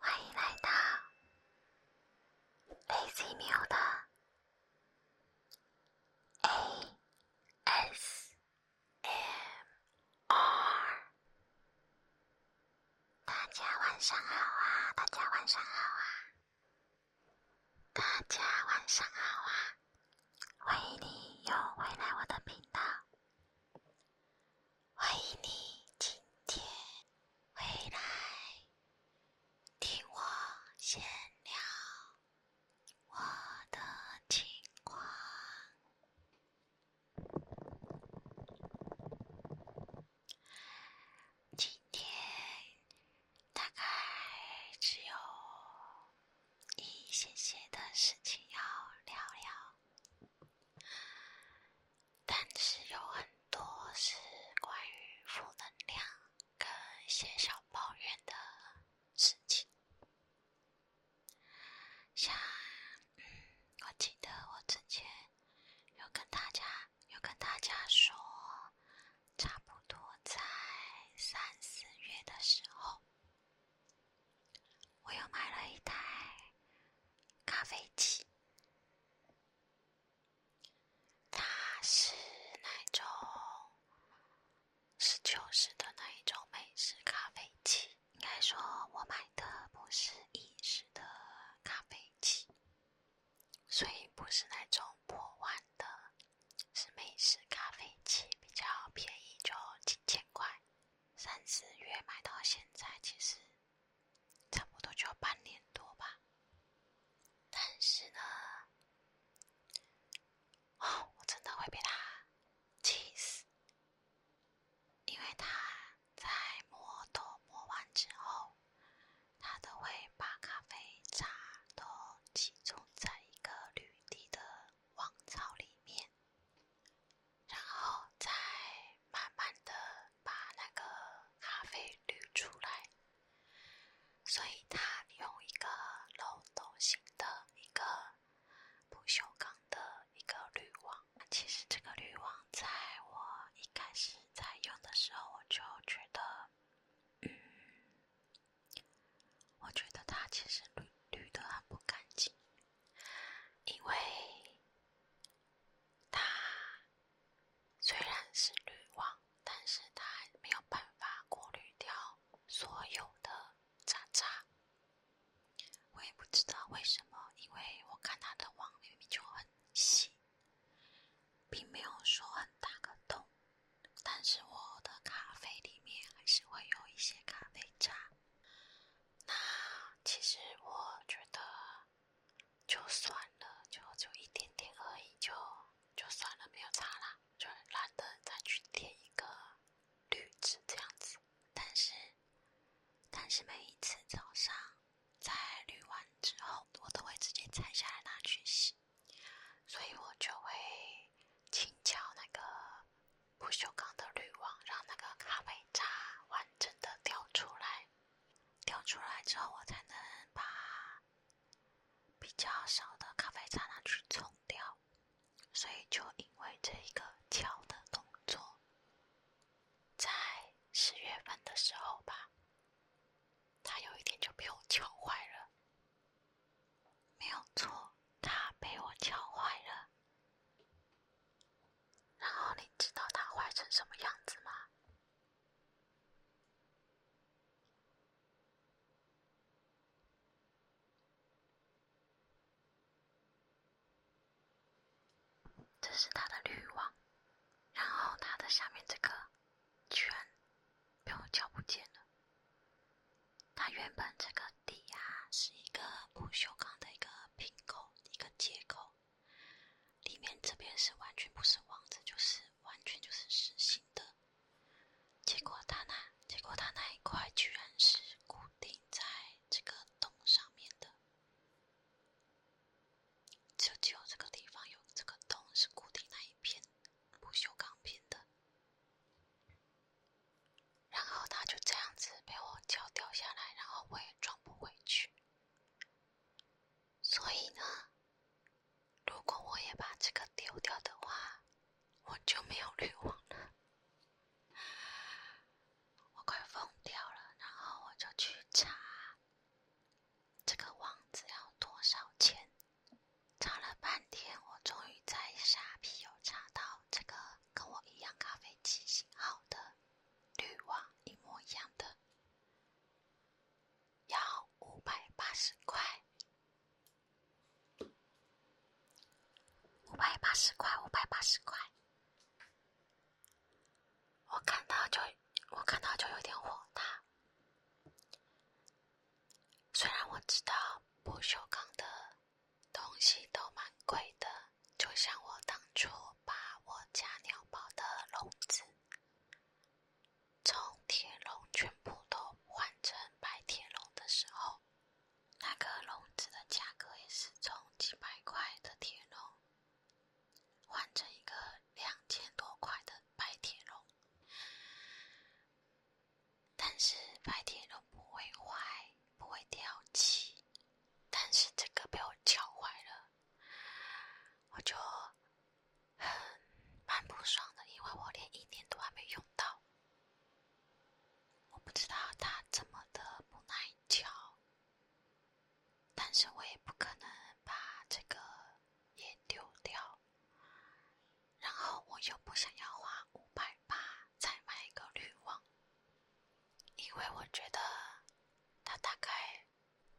欢迎来到。a z y 喵的 A S M R，大家晚上好啊！大家晚上好啊！大家晚上好啊！欢迎你又回来我的频道，欢迎你今天回来。听我先聊我的情况，今天大概只有一些些的事情要聊聊。但是有很多是关于负能量跟一些小抱怨的事情，像，我记得我之前有跟大家有跟大家说，差不多在三四月的时候，我又买了一台咖啡机。它是那种是旧式的那一种美式咖啡机，应该说，我买的不是意式的咖啡机，所以不是那种破碗的，是美式咖啡机，比较便宜，就几千块，三四月买到现在，其实。差不多就要半年多吧，但是呢，我真的会被他气死，因为他在磨豆磨完之后，他都会把咖啡渣都集中在一个绿地的王朝里面，然后再慢慢的。把那个咖啡滤出来，所以它用一个漏斗型的一个不锈钢的一个滤网。其实这个滤网在我一开始在用的时候，我就觉得，嗯，我觉得它其实滤滤的很不干净，因为。它虽然是滤网，但是它没有办法过滤掉所有的渣渣。我也不知道为什么，因为我看它的网里面就很细，并没有说很大个洞，但是我的咖啡里面还是会有一些咖啡渣。那其实我觉得。就算了，就就一点点而已，就就算了，没有擦啦，就懒得再去贴一个滤纸这样子。但是，但是每一次早上在滤完之后，我都会直接拆下来拿去洗，所以我就会轻敲那个不锈钢的滤网，让那个咖啡渣完整的掉出来。掉出来之后，我才能把比较少的咖啡渣拿去冲掉。所以就因为这一个敲的动作，在十月份的时候吧，他有一天就被我敲坏了。没有错，他被我敲坏了。然后你知道它坏成什么样子吗？这是它的滤网，然后它的下面这个圈，被我敲不见了。它原本这个底啊，是一个不锈钢的一个瓶口，一个接口。里面这边是完全不是网子，就是完全就是实心的。结果他那，结果他那一块居然是固定在这个洞上面的，就只有这个地方有这个洞，是固定那一片不锈钢片的。然后它就这样子被我脚掉下来，然后我也装不回去。所以呢，如果我也把这个丢掉的话，我就没有滤网了。我快疯掉了。然后我就去查这个网子要多少钱，查了半天，我终于在虾皮有查到这个跟我一样咖啡机型号的。滤网一模一样的，要五百八十块，五百八十块，五百八十块。我看到就，我看到就有点火大。虽然我知道不锈钢的。东西都蛮贵的，就像我当初把我家鸟宝的笼子从铁笼全部都换成白铁笼的时候，那个笼子的价格也是从几百块的铁笼换成一个两千多块的白铁笼，但是白铁笼不会坏。不会掉漆，但是这个被我撬坏了，我就很蛮不爽的，因为我连一年都还没用到。我不知道它怎么的不耐敲，但是我也不可能把这个也丢掉，然后我又不想要花五百。吧，再买一个滤网，因为我觉得它大概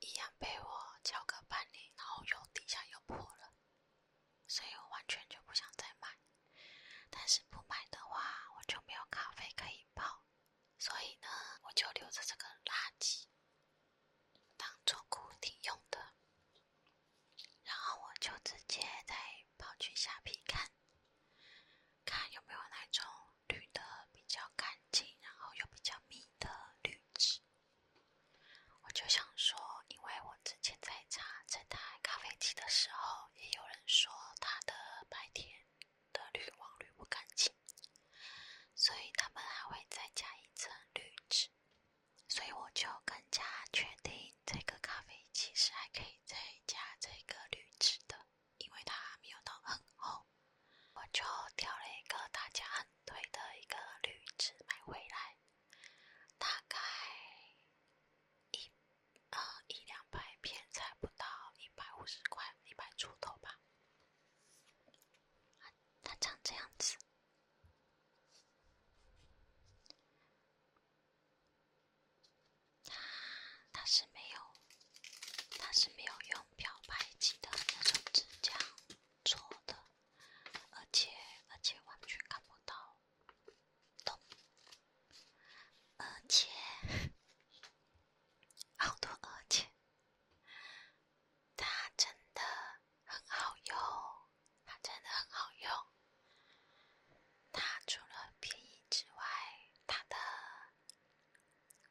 一样被我敲个半年，然后又底下又破了，所以我完全就不想再买。但是不买的话，我就没有咖啡可以泡，所以呢，我就留着这个垃圾当做固定用的，然后我就直接在。跑去下皮看看有没有那种绿的比较干净，然后又比较密的滤纸。我就想说，因为我之前在查这台咖啡机的时候，也有人说它的白天的滤网滤不干净，所以他们还会再加一层滤纸，所以我就更加确定。这个咖啡其实还可以再加这个绿植的，因为它还没有到很厚。我就挑了一个大家很推的一个绿植买回来，大概一呃一两百片才不到一百五十块，一百出头吧。它长这样子。它它是没有，它是没有用漂白剂的那种指甲做的，而且而且完全看不到，懂？而且好多而且，它真的很好用，它真的很好用。它除了便宜之外，它的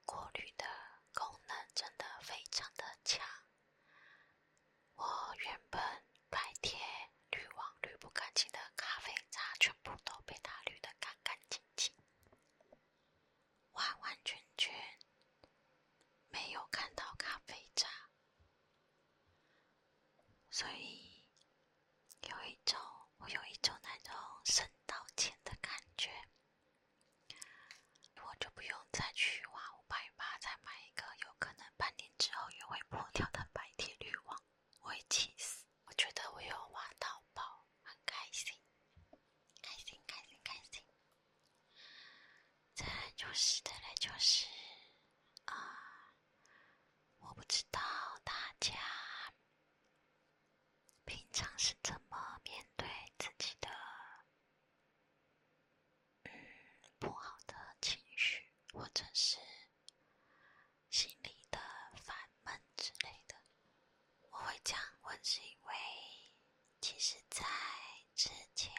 过滤的功能真的非常的强。我原本白铁滤网滤不干净的咖啡渣，全部都被它滤的干干净净，完完全全没有看到咖啡渣。所以。有一种，我有一种那种省到钱的感觉，我就不用再去花五百八再买一个，有可能半年之后又会破掉的白铁滤网，我会气死。我觉得我有挖到宝，很开心，开心，开心，开心。再来就是，再来就是，啊。我不知道大家平常是怎么面对自己的嗯不好的情绪，或者是心里的烦闷之类的。我会这样问，是因为其实在之前。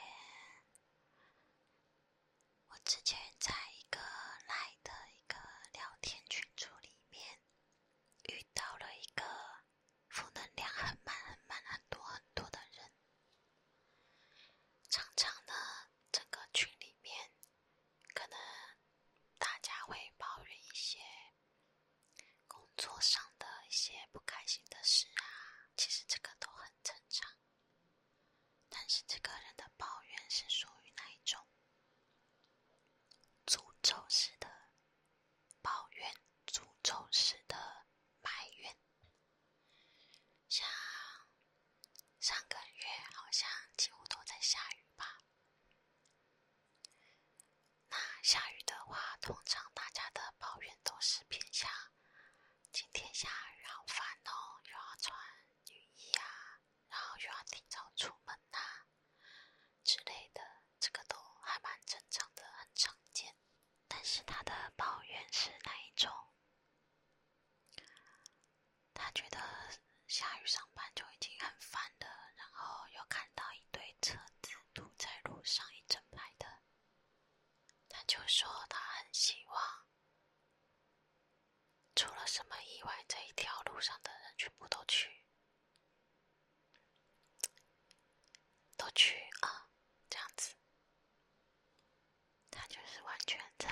我之前在一个来的一个聊天群组里面，遇到了一个负能量很满很满很多很多的人。常常呢，整个群里面，可能大家会抱怨一些工作上的一些不开心的事啊，其实这个都很正常。但是这个人的抱怨是属于那一种？诅咒式的抱怨，诅咒式的埋怨。像上个月好像几乎都在下雨吧？那下雨的话，通常大家的抱怨都是偏向今天下雨好烦哦，又要穿。女衣啊，然后又要提早出门呐之类的，这个都还蛮正常的，很常见。但是他的抱怨是哪一种？他觉得下雨上班就已经很烦了，然后又看到一堆车子堵在路上一整排的，他就说他很希望。出了什么意外？这一条路上的人全部都去，都去啊！这样子，他就是完全在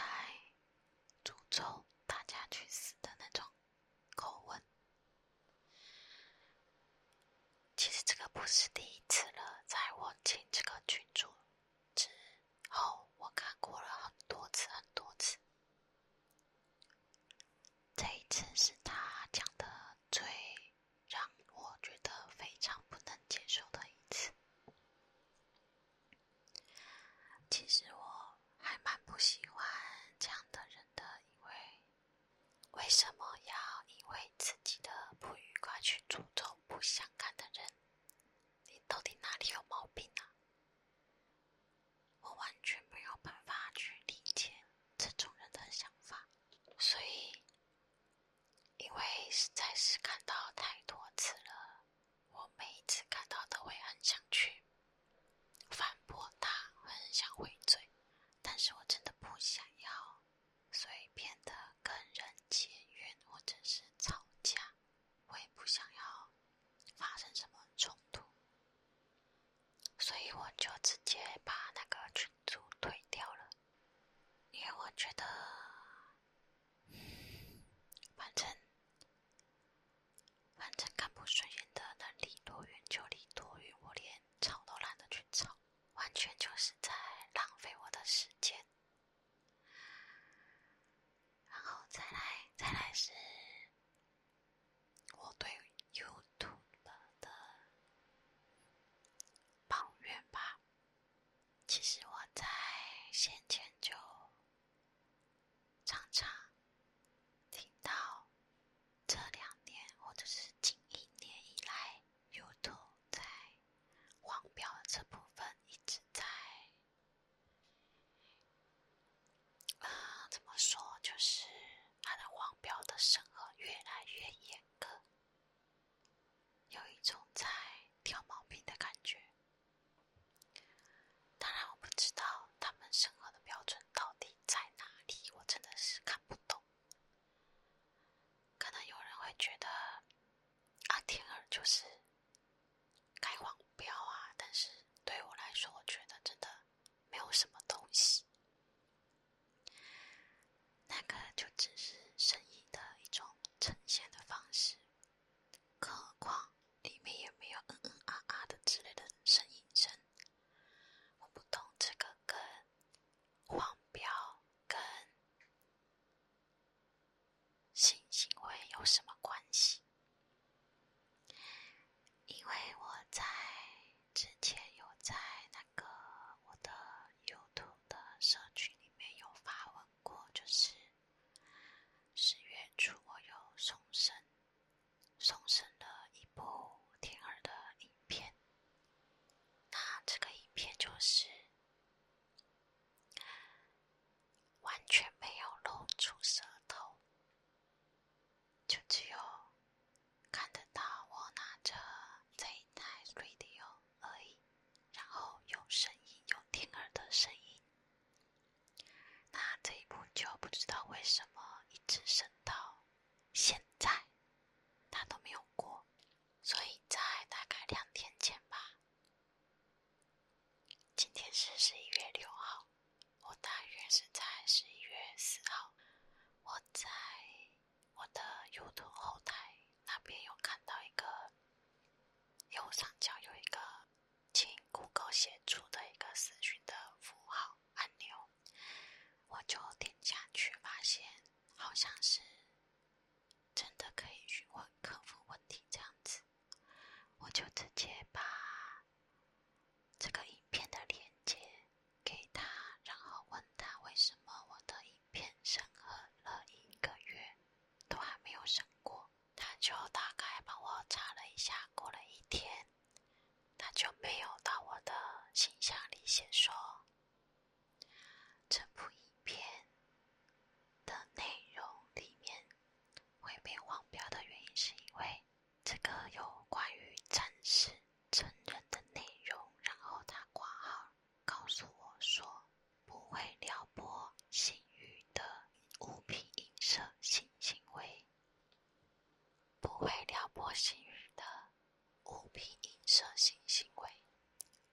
诅咒大家去死的那种口吻。其实这个不是第一次了，在我进这个群组。之后我看过了很多次，很多次。这一次是他讲的最让我觉得非常不能接受的一次。其实我还蛮不喜欢这样的人的，因为为什么要因为自己的不愉快去诅咒不相干的人？你到底哪里有毛病啊？我完全没有办法去理解这种人的想法，所以因为实在是看到太多次了，我每一次看到都会很想去反驳他，很想回嘴，但是我真的不想要，所以变得更忍。结怨或者是吵架，我也不想要发生什么冲突，所以我就直接把那个群组退掉了。因为我觉得，反正反正看不顺眼的能离多远就离多远，我连吵都懒得去吵，完全就是在浪费我的时间。然后再来，再来是我对 YouTube 的抱怨吧。其实我在先前就常常听到，这两年或者是近一年以来。YouTube 在黄标这部分一直在，啊，怎么说？就是它的黄标的审核越来越严格，有一种在挑毛病的感觉。当然，我不知道他们审核的标准到底在哪里，我真的是看不懂。可能有人会觉得。啊，天儿就是开黄标啊！但是对我来说，我觉得真的没有什么东西，那个就只是声音的一种呈现的方式，更何况里面也没有嗯嗯啊啊的之类的声音声。我不懂这个跟黄标跟。性行为有什么关系？因为我在之前有在那个我的 YouTube 的社区里面有发文过，就是十月初我有重生，重生了一部天儿的影片，那这个影片就是。完全没有露出舌头，就只有看得到我拿着这一台 radio 而已，然后有声音，有听耳的声音。那这一部就不知道为什么一直升到现在，它都没有过。所以在大概两天前吧，今天是十一月六号，我大约是在十一月四号，我在我的 YouTube 后台那边有看到一个右上角有一个“请 Google 协助”的一个死讯的符号按钮，我就点下去，发现好像是。真的可以询问客服问题这样子，我就直接把这个影片的链接给他，然后问他为什么我的影片审核了一个月都还没有审过，他就大概帮我查了一下，过了一天他就没有到我的信箱里写说。这部影片的内容里面会被黄标的原因，是因为这个有关于真实成人的内容。然后他挂号告诉我说，不会撩拨性欲的物品、影射性行为，不会撩拨性欲的。物品映射性行为，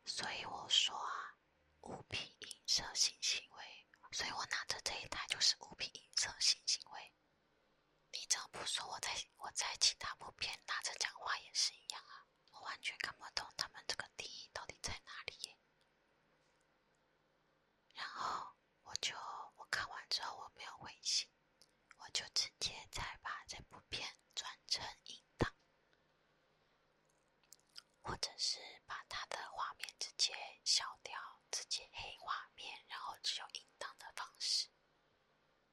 所以我说啊，物品映射性行为，所以我拿着这一台就是物品映射性行为。你怎么不说我在我在其他部片拿着讲话也是一样啊？我完全看不懂他们这个定义到底在哪里。然后我就我看完之后我没有回信。我就直接再把这部片转成音档，或者是把它的画面直接消掉，直接黑画面，然后只有音档的方式，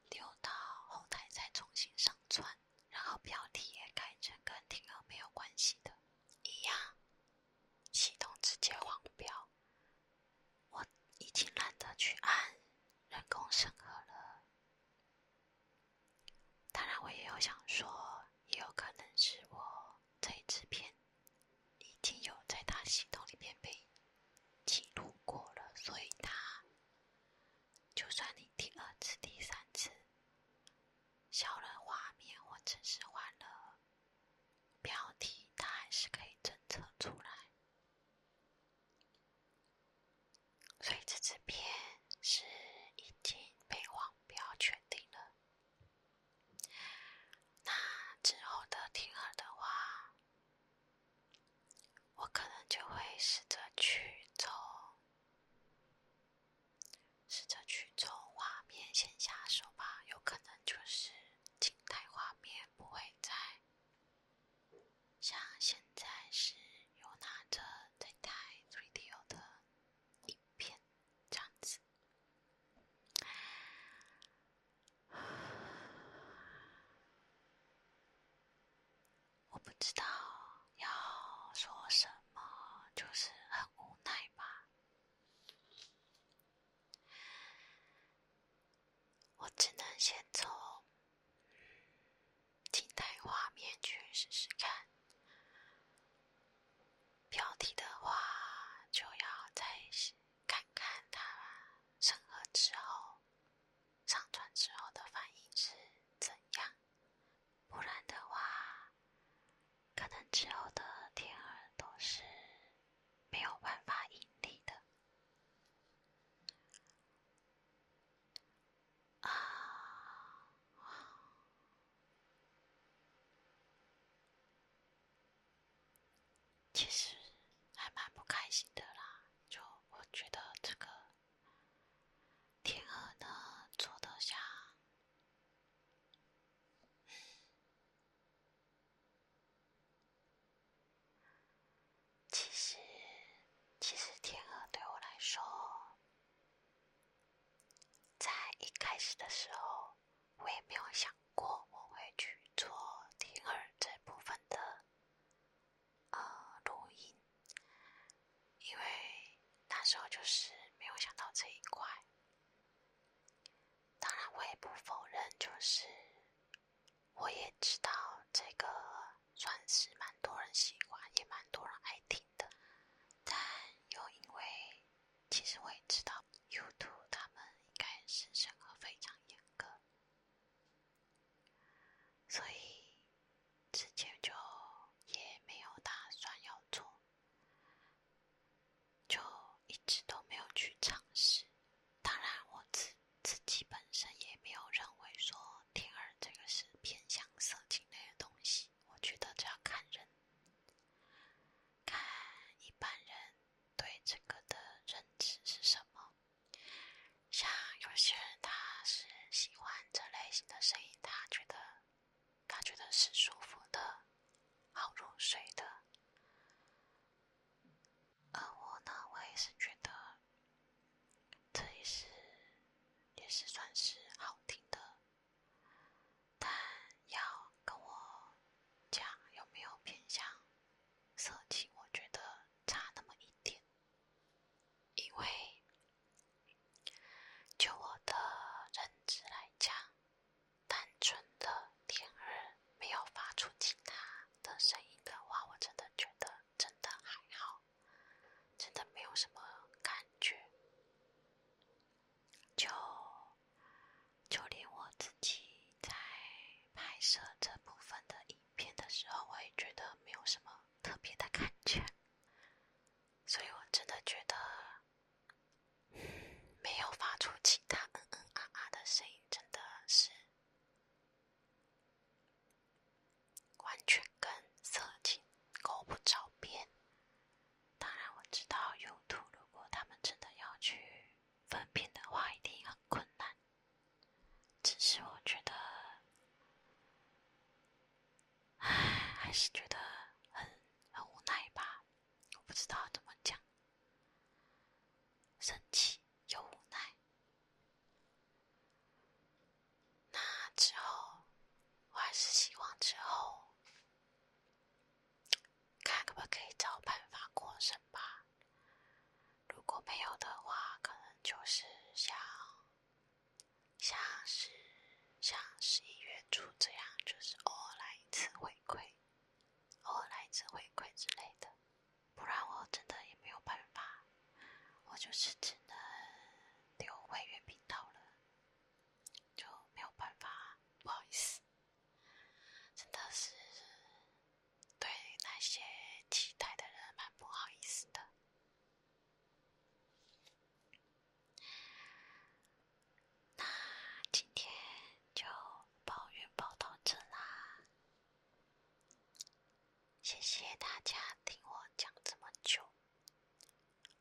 丢到后台再重新上传，然后标题也改成跟听额没有关系的，一样，系统直接黄标。我已经懒得去按人工审核了。当然，我也有想说，也有可能是我这一支片已经有在他系统里面被记录过了，所以他就算你第二次、第三次消了画面，或者是换了标题，他还是可以侦测出来。所以这支片是已经被黄标确定了。那之后的听耳的话，我可能就会试着去走，试着去从画面先下手吧。有可能就是静态画面不会再像现在是有拿着对待 r a d i o 的影片这样子，我不知道要说什么，就是很无奈吧。我只能先从。静态画面去试试看。标题的话，就要再看看他审核之后、上传之后的反应是怎样。不然的话，可能之后的天儿都是没有办法盈利的。啊，其实还蛮不开心的啦。就我觉得这个天鹅呢，做得像……其实，其实天鹅对我来说，在一开始的时候，我也没有想过我会去做天鹅这部分的呃录音，因为那时候就是没有想到这一块。当然，我也不否认，就是。我也知道这个算是蛮多人喜欢，也蛮多人爱听的，但又因为其实我也知道 u e 他们应该是审核非常严格，所以之前就也没有打算要做，就一直都没有去尝试。当然我己。自己本身也没有认为说天儿这个是偏向色情类的东西，我觉得这要看人，看一般人对这个的认知是什么。像有些人他是喜欢这类型的声音，他觉得他觉得是舒服的，好入睡的。而我呢，我也是觉得，这也是也是算是好听的，但要跟我讲有没有偏向色情，我觉得差那么一点，因为就我的认知来讲，单纯的甜儿。没有发出其他的声音的话，我真的觉得真的还好，真的没有什么感觉。就就连我自己在拍摄这部分的影片的时候，我也觉得没有什么特别的感觉。所以我真的觉得，没有发出其他嗯嗯啊啊的声音，真的是。完全跟色情狗不着边。当然我知道用途，如果他们真的要去分辨的话，一定很困难。只是我觉得，唉，还是觉得很很无奈吧。我不知道怎么讲。生气又无奈，那之后我还是希望之后看可不可以找办法过生吧。如果没有的话，可能就是像像是像十一月初这样，就是偶尔来一次回馈。偶尔来一次回馈之类的，不然我真的也没有办法，我就是只能留会员频道了，就没有办法，不好意思，真的是对那些期待的人蛮不好意思的。那今天就抱怨报到这啦，谢谢大家听我讲这么久，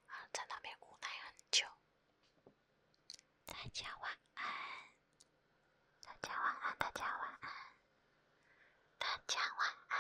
啊，在那边无奈很久，大家晚安，大家晚安，大家晚安，大家晚安。